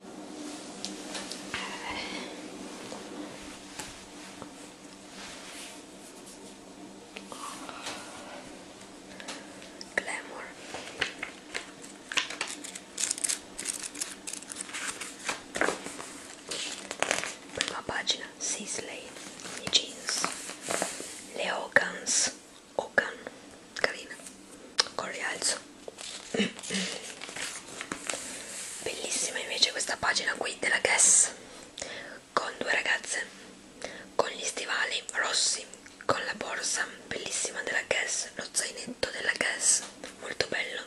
Glamour prima pagina Sisley i jeans le Hogans Hogan carina con rialzo bellissima invece questa pagina qui della Guess con due ragazze con gli stivali rossi con la borsa bellissima della Guess lo zainetto della Guess molto bello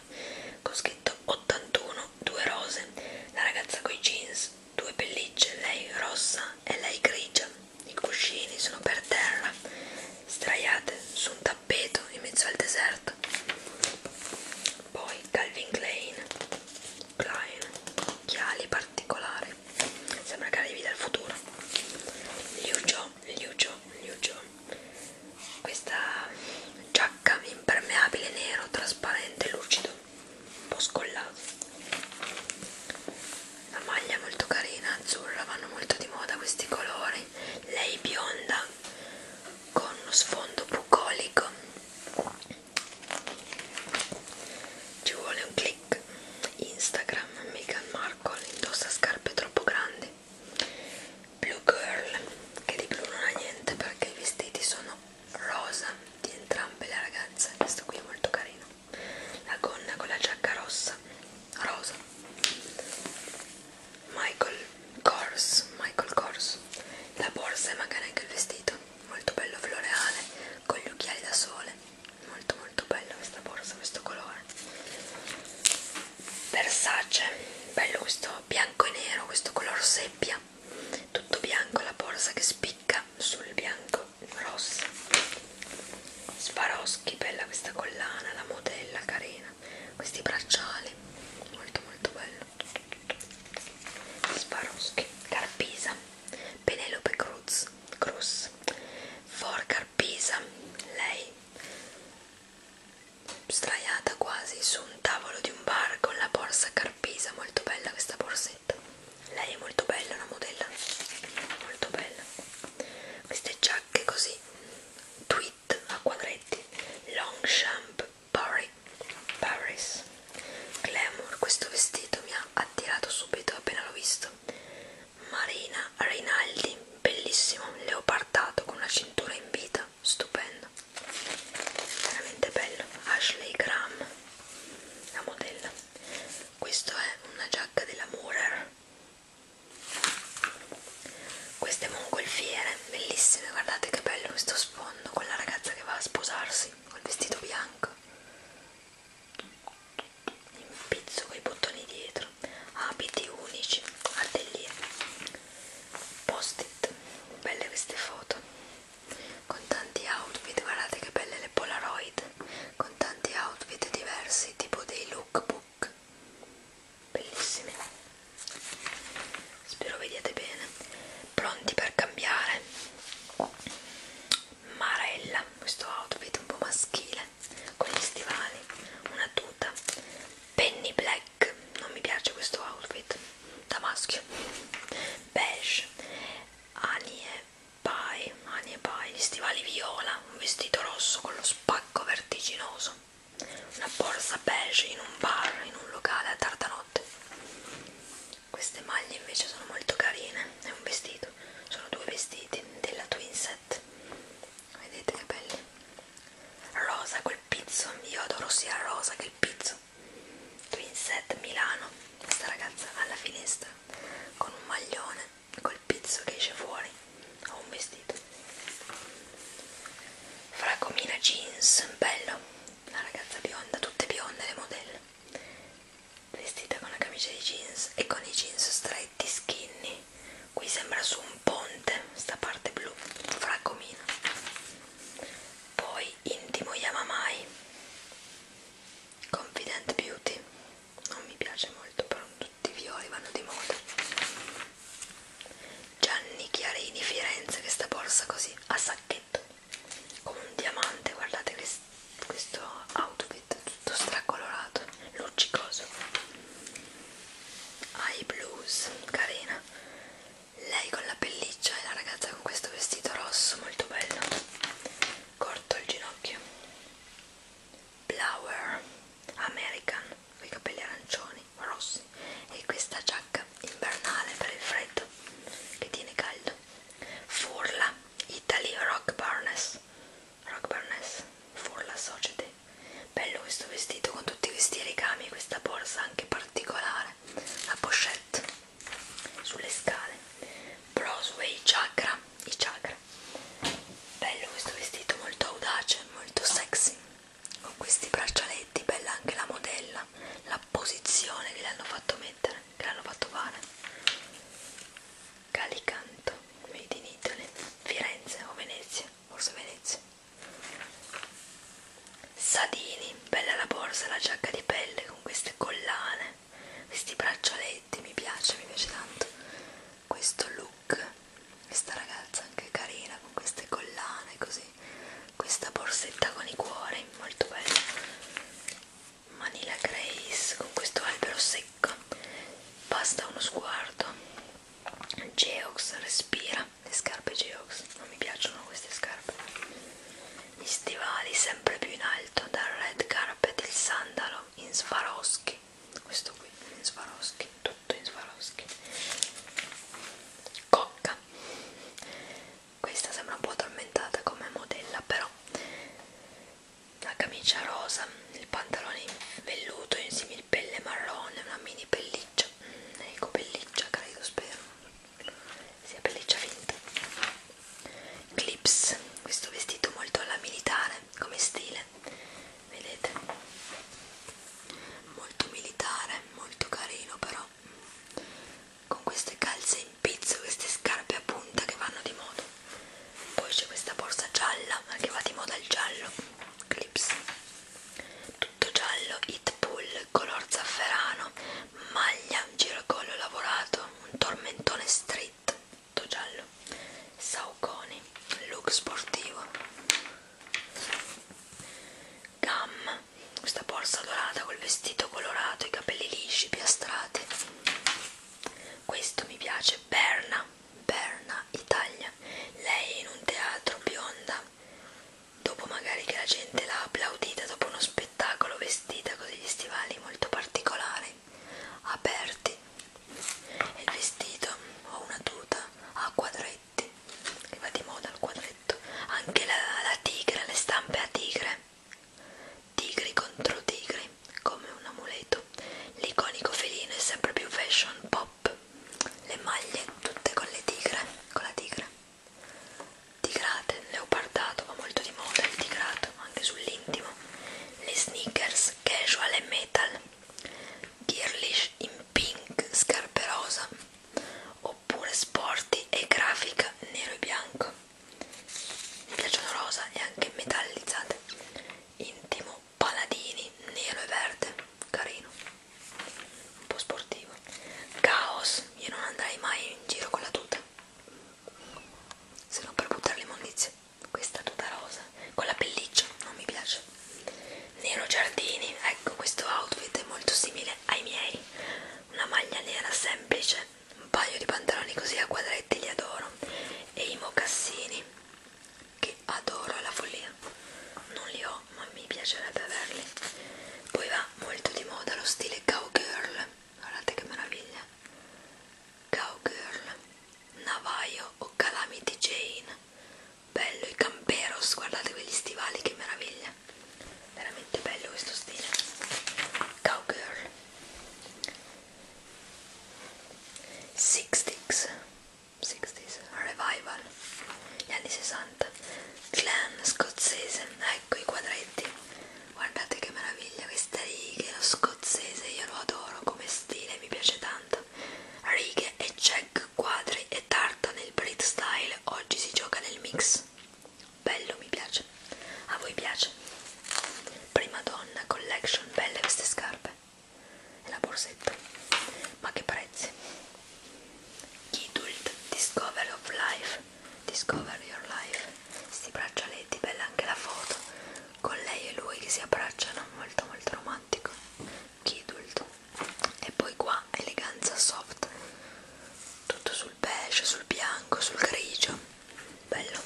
con scritto 81 due rose la ragazza con i jeans due pellicce lei rossa e lei grigia i cuscini sono per terra straiate su un tappeto tappeto in mezzo al deserto poi Calvin Klein Klein chiali particolari sembra che arrivi dal futuro Liu Jo, Liu Jo, Liu Jo questa giacca impermeabile nero trasparente lucido un po' scollato la maglia è molto carina, azzurra, vanno molto di moda questi colori. Lei bionda con uno sfondo bucolico. Ci vuole un click. Instagram Meghan Markle indossa scarpe troppo grandi. Blue Girl, che di blu non ha niente perché i vestiti sono rosa di entrambe le ragazze. Questo qui è molto carino. La gonna con la giacca rossa rosa Michael Kors Michael Kors la borsa e magari anche il vestito molto bello floreale con gli occhiali da sole molto molto bella questa borsa questo colore Versace bello questo bianco e nero questo color seppia tutto bianco la borsa che spicca sul bianco rosso Swarovski, bella questa collana, la modella carina, questi bracciali, molto molto bello. Swarovski, Carpisa, Penelope Cruz, Cruz, For Carpisa, lei straiata quasi su un tavolo di un bar con la borsa Carpisa, molto bella questa borsetta. Lei è molto bella, una modella molto bella queste giacche così tweed a quadretti Longchamp Paris Glamour questo vestito mi ha attirato subito appena l'ho visto Marina Rinaldi bellissimo leopardato con la cintura in vita stupendo veramente bello Ashley Graham la modella questo è una giacca della Moorer queste mongolfiere bellissime guardate che bello questo sfondo con la ragazza che va a sposarsi col vestito bianco impizzo con i bottoni dietro abiti unici atelier post it belle queste foto con tanti outfit guardate che belle le polaroid con tanti outfit diversi tipo dei lookbook bellissimi spero vediate bene pronti per cambiare marella questo outfit un po' maschile con gli stivali una tuta penny black non mi piace questo outfit da maschio beige anie pie, mani e pie, gli stivali viola, un vestito rosso con lo spacco vertiginoso, una borsa beige in un bar, in un locale a tarda notte. Queste maglie invece sono molto carine, è un vestito, sono due vestiti della Twinset, vedete che belli. Rosa quel pizzo, io adoro sia rosa che il pizzo. Twinset Milano, questa ragazza alla finestra con un maglione col pizzo che esce fuori ho un vestito fracomina jeans bello la ragazza bionda tutte bionde le modelle vestita con la camicia di jeans e con i jeans stretti skinny qui sembra su un ponte sta parte blu fracomina poi intimo yamamai confident beauty non mi piace molto però tutti i violi vanno di moda Gianni Chiarini Firenze questa borsa così a sacchetto come un diamante guardate questo outfit tutto stracolorato luccicoso ai blues carina lei con la pelliccia e la ragazza con questo vestito rosso molto bello corto il ginocchio blower american con i capelli arancioni rossi e questa giacca invernale per il freddo che tiene caldo furla italy rock barnes rock barnes furla society bello questo vestito con tutti questi ricami questa borsa anche particolare la pochette sulle scale Brosway Chakra, i chakra. Bello questo vestito, molto audace, molto sexy. Con questi braccialetti, bella anche la modella, la posizione che le hanno fatto mettere, che l'hanno fatto fare. Calicanto, made in Italy, Firenze o Venezia, forse Venezia. Sadini, bella la borsa, la giacca di pelle con queste collane questi braccialetti mi piace, mi piace tanto questo look questa ragazza anche carina con queste collane così questa borsetta con i cuori molto bella Manila Grace con questo albero secco basta uno sguardo Geox respira le scarpe Geox non mi piacciono queste scarpe gli stivali sempre più in alto dal red carpet il sandalo in Swarovski questo qui in Swarovski tutto in Swarovski cocca questa sembra un po' addormentata come modella però la camicia rosa il pantalone in velluto in similpelle marrone una mini pelliccia ecco pelliccia credo spero sia pelliccia finta clips questo vestito molto alla militare come stile vedete molto militare molto carino però con queste calze in pizzo queste scarpe a punta che vanno di moda poi c'è questa borsa gialla che va di moda il giallo clips tutto giallo hit pull color zafferano maglia giracollo lavorato un tormentone street, tutto giallo, sauconi, look sportivo, gam, questa borsa dorata col vestito colorato, i capelli lisci, piastrati, questo mi piace, Berna, Berna, Italia, lei in un teatro bionda, dopo magari che la gente l'ha applaudita dopo uno spettacolo vestita con degli stivali molto particolari, aperti. Il vestito o una tuta a quadretti, che va di moda il quadretto. Anche la, la tigre, le stampe a tigre, tigri contro tigri, come un amuleto. L'iconico felino è sempre più fashion pop. Le maglie tutte con le tigre, con la tigre tigrate, leopardato va molto di moda il tigrato anche sull'intimo le sneakers casual e metal girlish in pink scarpe rosa oppure sporty e grafica nero e bianco mi piacciono rosa e anche metallizzate intimo paladini nero e verde carino un po' sportivo caos io non andrei mai in giro con la tuta se non per buttare l'immondizia questa tuta rosa con la pelliccia non mi piace nero giardini ecco questo outfit è molto simile ai miei una maglia nera semplice un paio di pantaloni così a quadretti li adoro e i mocassini che adoro alla follia non li ho ma mi piacerebbe averli poi va molto di moda lo stile cowgirl guardate che meraviglia Cowgirl Navajo o Calamity Jane bello i camperos guardate quegli stivali che meraviglia veramente bello questo stile Cowgirl Sixties Sixties Revival gli anni 60 60 clan scozzese ecco i quadretti guardate che meraviglia queste righe lo scozzese io lo adoro come stile mi piace tanto righe e check quadri e tarta nel Brit style oggi si gioca nel mix bello mi piace a voi piace prima donna collection belle queste scarpe e la borsetta ma che prezzi Kidult Discover of Life Life Discover Your Life sti braccialetti, bella anche la foto con lei e lui che si abbracciano molto molto romantico Kidult e poi qua eleganza soft tutto sul beige, sul bianco, sul grigio bello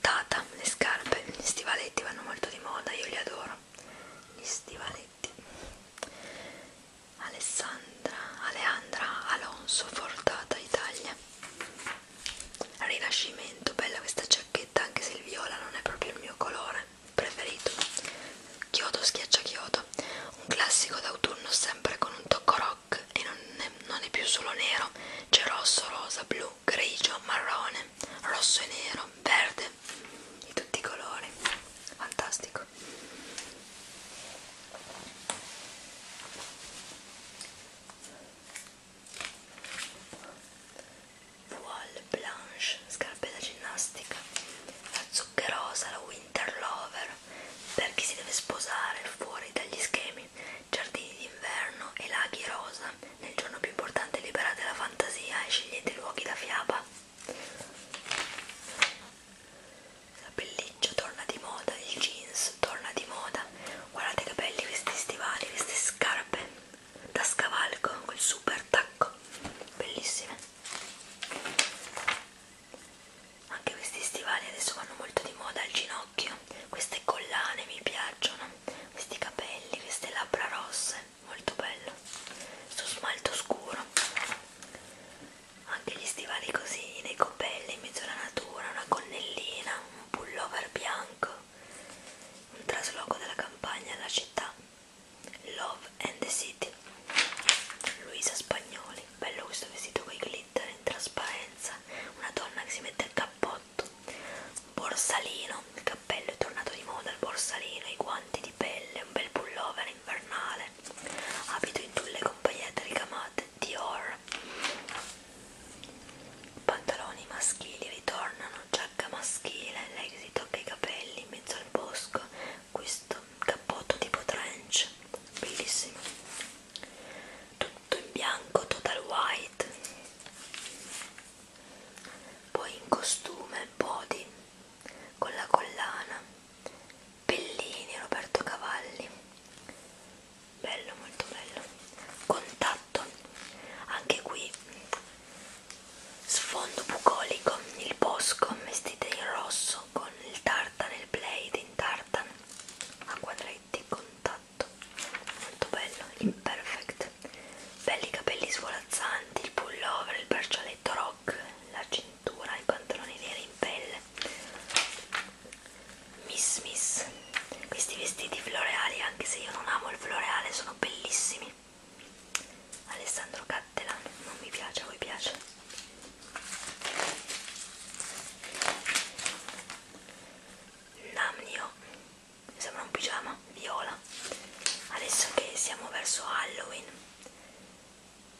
Tata, le scarpe, gli stivaletti vanno molto di moda, io li adoro gli stivaletti Benedetti Alessandra Aleandra Alonso Fortata Italia Rinascimento, bella questa giacchetta anche se il viola non è proprio il mio colore preferito Chiodo schiaccia chiodo un classico d'autunno sempre con un tocco rock e non è, non è più solo nero c'è rosso, rosa, blu, grigio, marrone, rosso e nero, verde di tutti i colori fantastico voile blanche scarpe da ginnastica la zuccherosa la winter lover per chi si deve sposare fuori dagli schemi giardini d'inverno e laghi rosa nel giorno più importante liberate la fantasia e scegliete luoghi da fiaba la pelliccia torna di moda, il jeans torna di moda. Guardate che belli questi stivali, queste scarpe da scavalco, quel super tacco, bellissime. Anche questi stivali adesso vanno molto di moda al ginocchio. Queste collane mi piacciono, questi capelli, queste labbra rosse molto bello su smalto scuro anche gli stivali così nei coppelli in mezzo alla natura una gonnellina un pullover bianco un trasloco dalla campagna alla città love and the city Luisa Spagnoli bello questo vestito con i glitter in trasparenza una donna che si mette il cappotto borsalino il cappello è tornato di moda il borsalino i guanti di pelle un bel pullover invernale, abito in tulle con pagliette ricamate Dior, pantaloni maschili ritornano, giacca maschile, lei si tocca i capelli in mezzo al bosco, questo cappotto tipo trench, bellissimo, tutto in bianco, total white, poi in costume, body con la collana, Pellini, Roberto Cavalli, bello, molto bello, contatto, anche qui sfondo bucolico, il bosco vestite in rosso con il tartan, il blade in tartan a quadretti, contatto, molto bello, imperfect, belli capelli svolazzanti, il pullover, il braccialetto rosa frock, la cintura, i pantaloni neri in pelle Miss Miss questi vestiti floreali anche se io non amo il floreale sono bellissimi Alessandro Cattelan non mi piace, a voi piace? Namnio sembra un pigiama viola adesso che siamo verso Halloween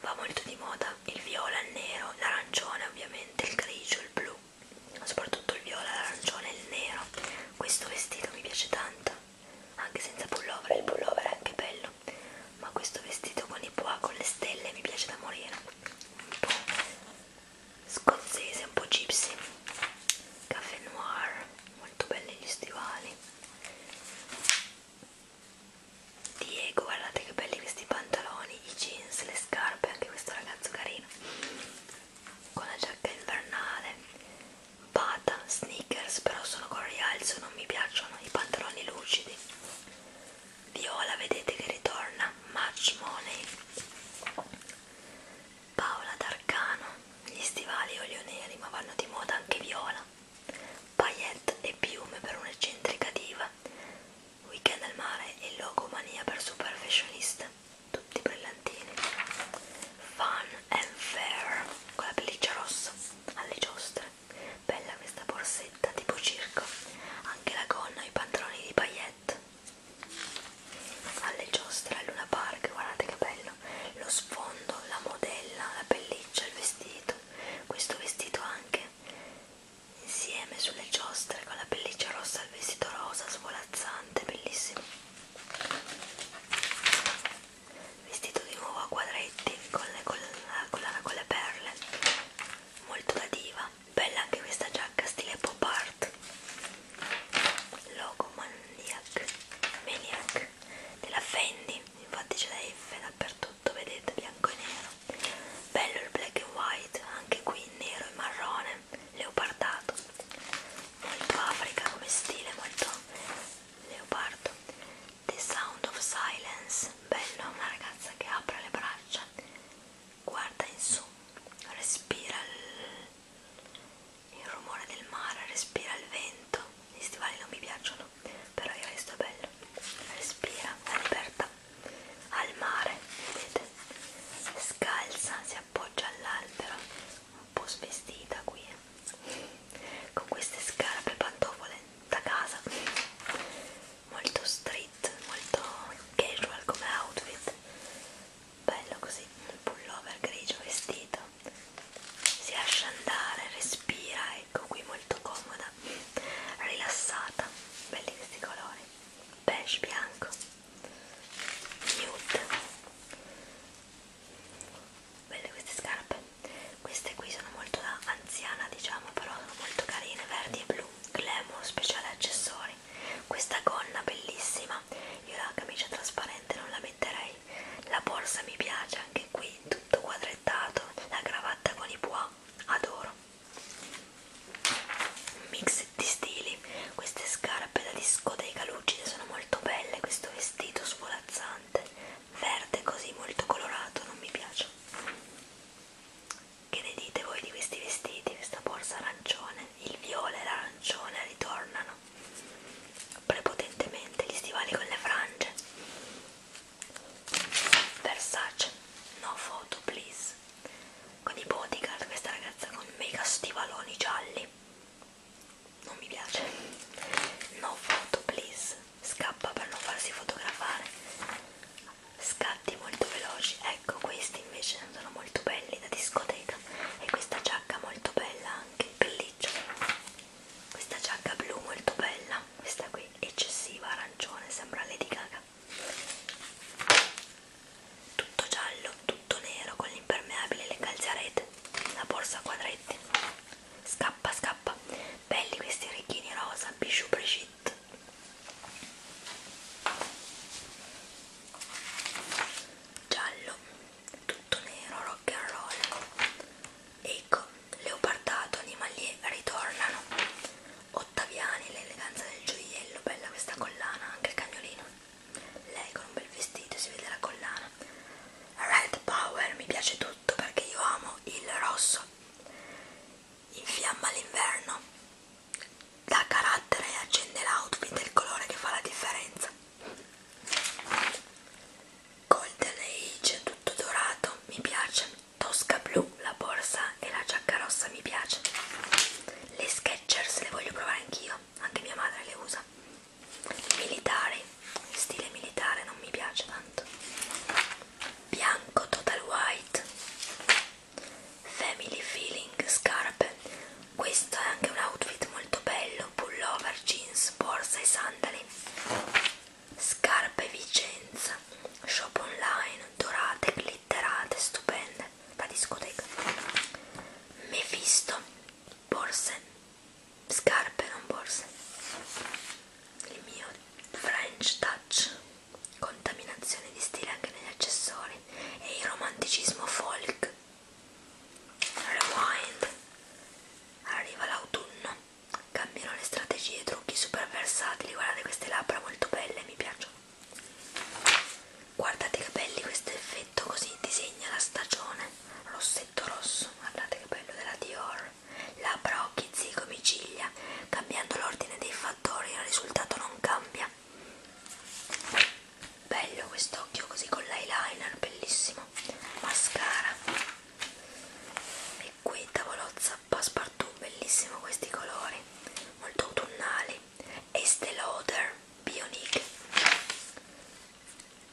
Va molto di moda il viola, il nero, l'arancione ovviamente, il grigio, il blu, soprattutto il viola, l'arancione e il nero. Questo vestito mi piace tanto, anche senza pullover, il pullover è anche bello, ma questo vestito con i pois, con le stelle mi piace da morire. Un po' scozzese, un po' gypsy, caffè noir molto belli gli stivali Diego guardate che belli questi pantaloni i jeans, le scarpe anche questo ragazzo carino con la giacca invernale bata, sneakers però sono con rialzo non mi piacciono i pantaloni lucidi Viola vedete che ritorna Match Money Paola D'Arcano gli stivali olio neri ma vanno di moda anche viola, paillette e piume per un'eccentrica diva, weekend al mare e logomania per super fashionista, tutti brillantini, fun and fair con la pelliccia rossa alle giostre, bella questa borsetta tipo circo, anche la gonna e i pantaloni di paillette alle giostre a Luna Park, guardate che bello bello, lo sfondo, la modella, la pelliccia, il vestito, questo vestito anche, insieme sulle giostre con la pelliccia rossa, il vestito rosa svolazzante, bellissimo. Vestito di nuovo a quadretti con le, con la collana con le perle, molto da diva, bella anche questa giacca stile pop art logo Maniac, Maniac della Fendi, infatti c'è la F dappertutto, vedete, bianco e nero. Bello il black and white, anche qui nero e marrone, leopardato, molto Africa come stile, molto leopardo. The Sound of Silence, bello, una ragazza che apre le braccia, guarda in su, respira il il rumore del mare, respira il vento, gli stivali non mi piacciono, però il resto è bello, respira, è aperta al mare, vedete, scalza, si appoggia all'albero, un po' svestita qui, eh. con queste scarpe pantofole da casa, molto street, molto casual come outfit bello così un pullover grigio vestito si lascia andare respira ecco qui molto comoda rilassata belli questi colori beige bianco nude belle queste scarpe queste qui sono molto da anziana diciamo però sono molto carine verdi e blu glamour speciale accessori questa gonna bellissima bellissima io la camicia trasparente non la metterei la borsa mi piace anche qui tutto quadrettato la cravatta con i bois adoro un mix di stili queste scarpe da discoteca lucide sono molto belle questo vestito svolazzante verde così molto colorato non mi piace che ne dite voi di questi vestiti questa borsa arancione il viola e l'arancione ritornano prepotentemente gli stivali con le frange Versace no photo please con i bodyguard questa ragazza con mega stivaloni gialli non mi piace no photo please scappa per non farsi fotografare scatti molto veloci ecco questi invece rendono molto belli da discoteca e questa giacca molto bella anche, pelliccia questa giacca blu molto bella questa qui eccessiva, arancione, sembra Lady Gaga tutto giallo, tutto nero con l'impermeabile e le calziarete la borsa a quadretti scappa scappa belli questi orecchini rosa, bijou Brigitte giallo tutto nero, rock and roll. Ecco, leopardato, animali ritornano. Ottaviani, l'eleganza del gioiello, bella questa collana, anche il cagnolino. Lei con un bel vestito, si vede la collana. Red Power, mi piace tutto perché io amo il rosso. Infiamma l'inverno dà carattere e accende l'outfit è il colore che fa la differenza Golden Age tutto dorato mi piace Tosca blu la borsa e la giacca rossa mi piace le Skechers le voglio provare anch'io anche mia madre le usa militari stile militare non mi piace tanto bianco total white Family Feeling Scarpe questo è anche un outfit molto bello pullover, jeans, borsa e sandali scarpe Vicenza shop online dorate, glitterate, stupende da discoteca Mephisto borse scarpe, non borse il mio French Touch contaminazione di stile anche negli accessori e il romanticismo folk Rewind. Arriva l'autunno, cambiano le strategie, trucchi super versatili. Guardate queste labbra molto belle, mi piacciono. Guardate che belli questo effetto, così disegna la stagione. Rossetto rosso, guardate che bello della Dior. Labbra, occhi, zigomi, ciglia. Cambiando l'ordine dei fattori, il risultato non cambia, bello quest'occhio così con l'eyeliner bellissimo mascara e qui tavolozza passepartout bellissimo questi colori molto autunnali Estée Lauder Bionic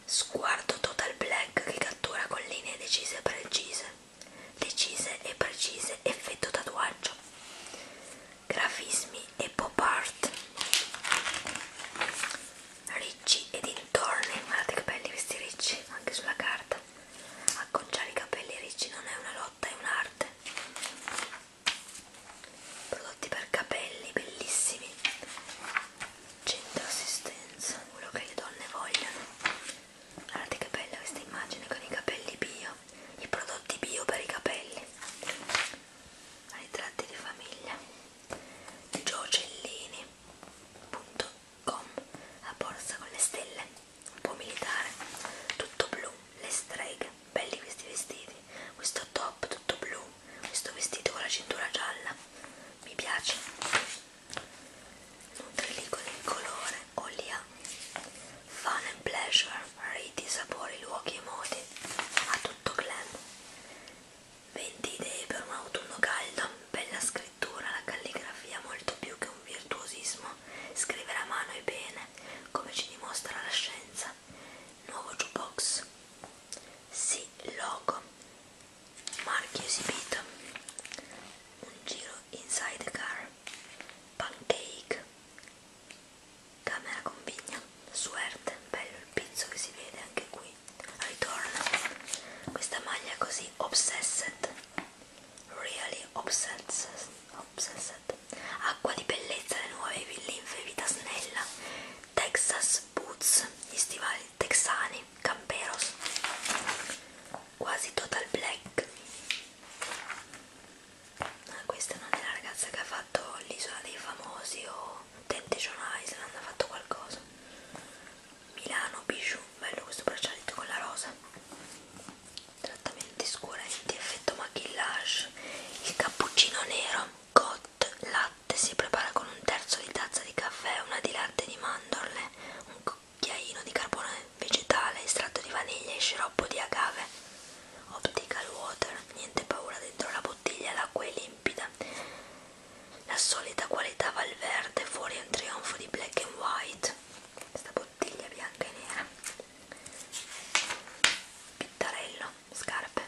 sguardo total black che cattura con linee decise e precise decise e precise effetto tatuaggio grafismi e pop art ricci e dintorni guardate che belli questi ricci anche sulla carta acconciare i capelli ricci non è una lotta è un'arte prodotti per capelli bellissimi centro assistenza quello che le donne vogliono guardate che bella questa immagine con i capelli bio bio, i prodotti bio per i capelli, ritratti di famiglia, giocellini.com, la borsa con le stelle, un po' militare, tutto blu, le streghe, belli questi vestiti, questo top tutto blu, questo vestito con la cintura gialla, mi piace. Nutrilico del colore Olia Fun and pleasure, riti, sapori, luoghi e modi, a tutto glam. 20 idee per un autunno caldo, bella scrittura, la calligrafia molto più che un virtuosismo, scrivere a mano e bene, come ci dimostra la scienza. Nuovo jukebox. Sì, logo. Marchio esibito. Un giro inside the car. Pancake. Camera con vigna, suerte, bello il pizzo che si vede anche qui. Ritorna. Questa maglia è così obsessed. Really obsessed. obsessed. Acqua di bellezza, le nuove linfe, vita snella. Texas Boots, gli stivali texani, camperos. Quasi total black. Ah, questa non è la ragazza che ha fatto l'isola dei famosi o Temptation Island, ha fatto qualcosa Milano, Bijou, bello questo braccialetto con la rosa trattamenti scurenti, effetto maquillage il cappuccino nero Cot latte si prepara con un terzo di tazza di caffè, una di latte di mandorle un cucchiaino di carbonara vegetale, estratto di vaniglia e sciroppo di agave. Optical water, niente paura dentro la bottiglia, l'acqua è limpida. La solita qualità va al verde, fuori è un trionfo di black and white. Questa bottiglia bianca e nera. Pittarello, scarpe.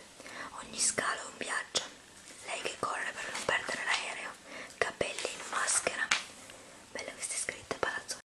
Ogni scalo è un viaggio. Lei che corre per non perdere l'aereo. Capelli in maschera. Bella questa scritta, palazzo.